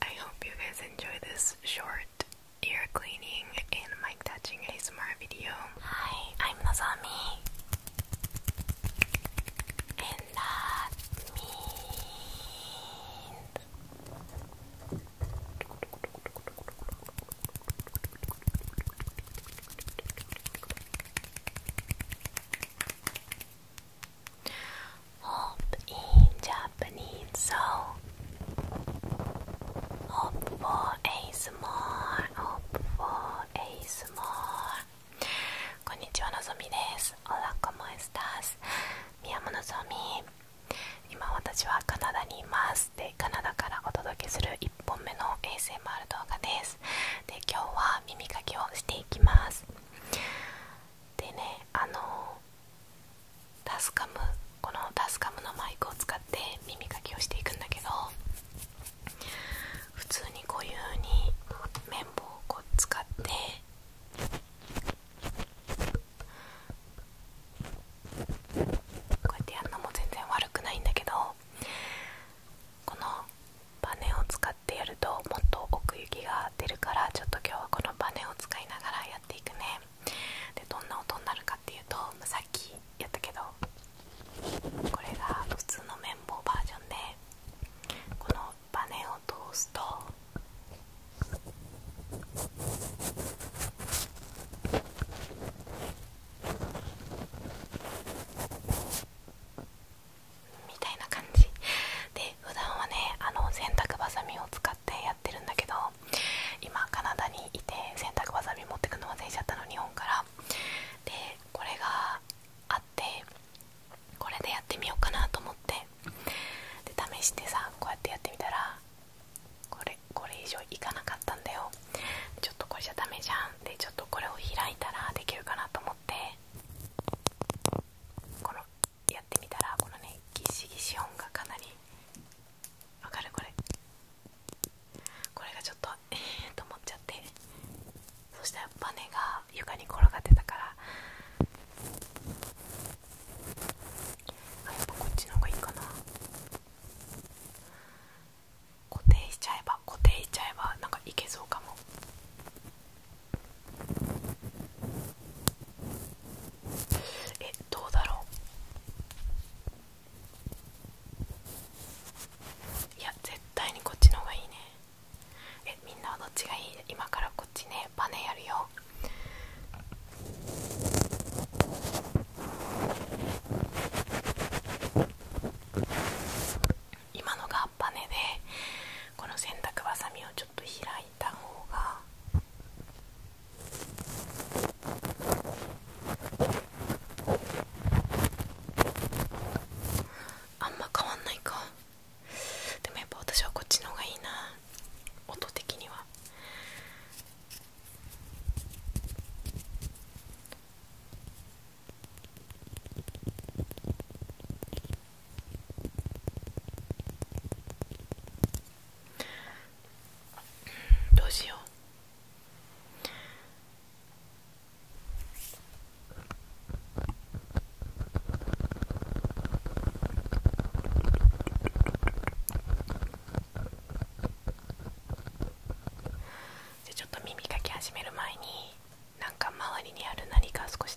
I hope you guys enjoy this short ear cleaning and mic touching ASMR video. Hi, I'm Nozomi. And that means Hope in Japanese soul. Hope for a small. Hope for a small. こんにちは、のぞみです。おらこもえすたす。宮本のぞみ。今私はカナダにいます。で、カナダからお届けする1本目の ASMR 動画です。で、今日は耳かきをしていきます。でねあのタスカムこのタスカムのマイクを使って耳かきをしていくんだけど普通にこういうふうに綿棒を使ってこうやってやるのも全然悪くないんだけどこのバネを使ってやるともっと奥行きがが出るからちょっと今日はこのバネを使いながらやっていくねでどんな音になるかっていうと、さっきやったけどこれが普通の綿棒バージョンでこのバネを通すとみたいな感じで普段はねあの洗濯ばさみを使ってやってるんだけど今カナダにいて洗濯ばさみ持ってくの忘れちゃったの日本からでこれがあってこれでやってみようかなと思ってで試してさこうやってやってみたらこれこれ以上いかなかったんだよちょっとこれじゃダメじゃんでちょっとこれを開いたらできるかなと思ってこのやってみたらこのねギシギシ音がかなりわかるこれこれがちょっとええー、と思っちゃってそしたらバネが床に転がってたからあやっぱこっちの方がいいかな固定しちゃえば固定しちゃえばなんかいけそうかもえどうだろういや絶対にこっちの方がいいねえみんなはどっちがいい今からこっちねバネやるよ今のがバネでこの洗濯ばさみをちょっと。ちょっと開いた方があんま変わんないかでもやっぱ私はこっちの方がいいな音的には。どうしようじゃちょっと耳かき始める前になんか周りにある何か少し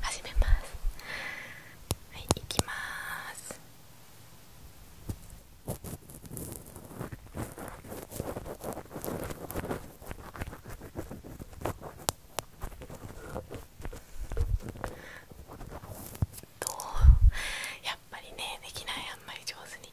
始めますはいいきまーすどうやっぱりねできないあんまり上手に。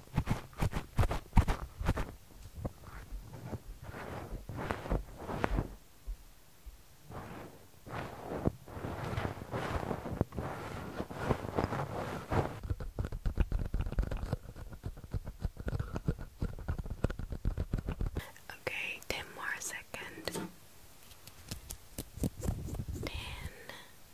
Okay, ten more seconds. Ten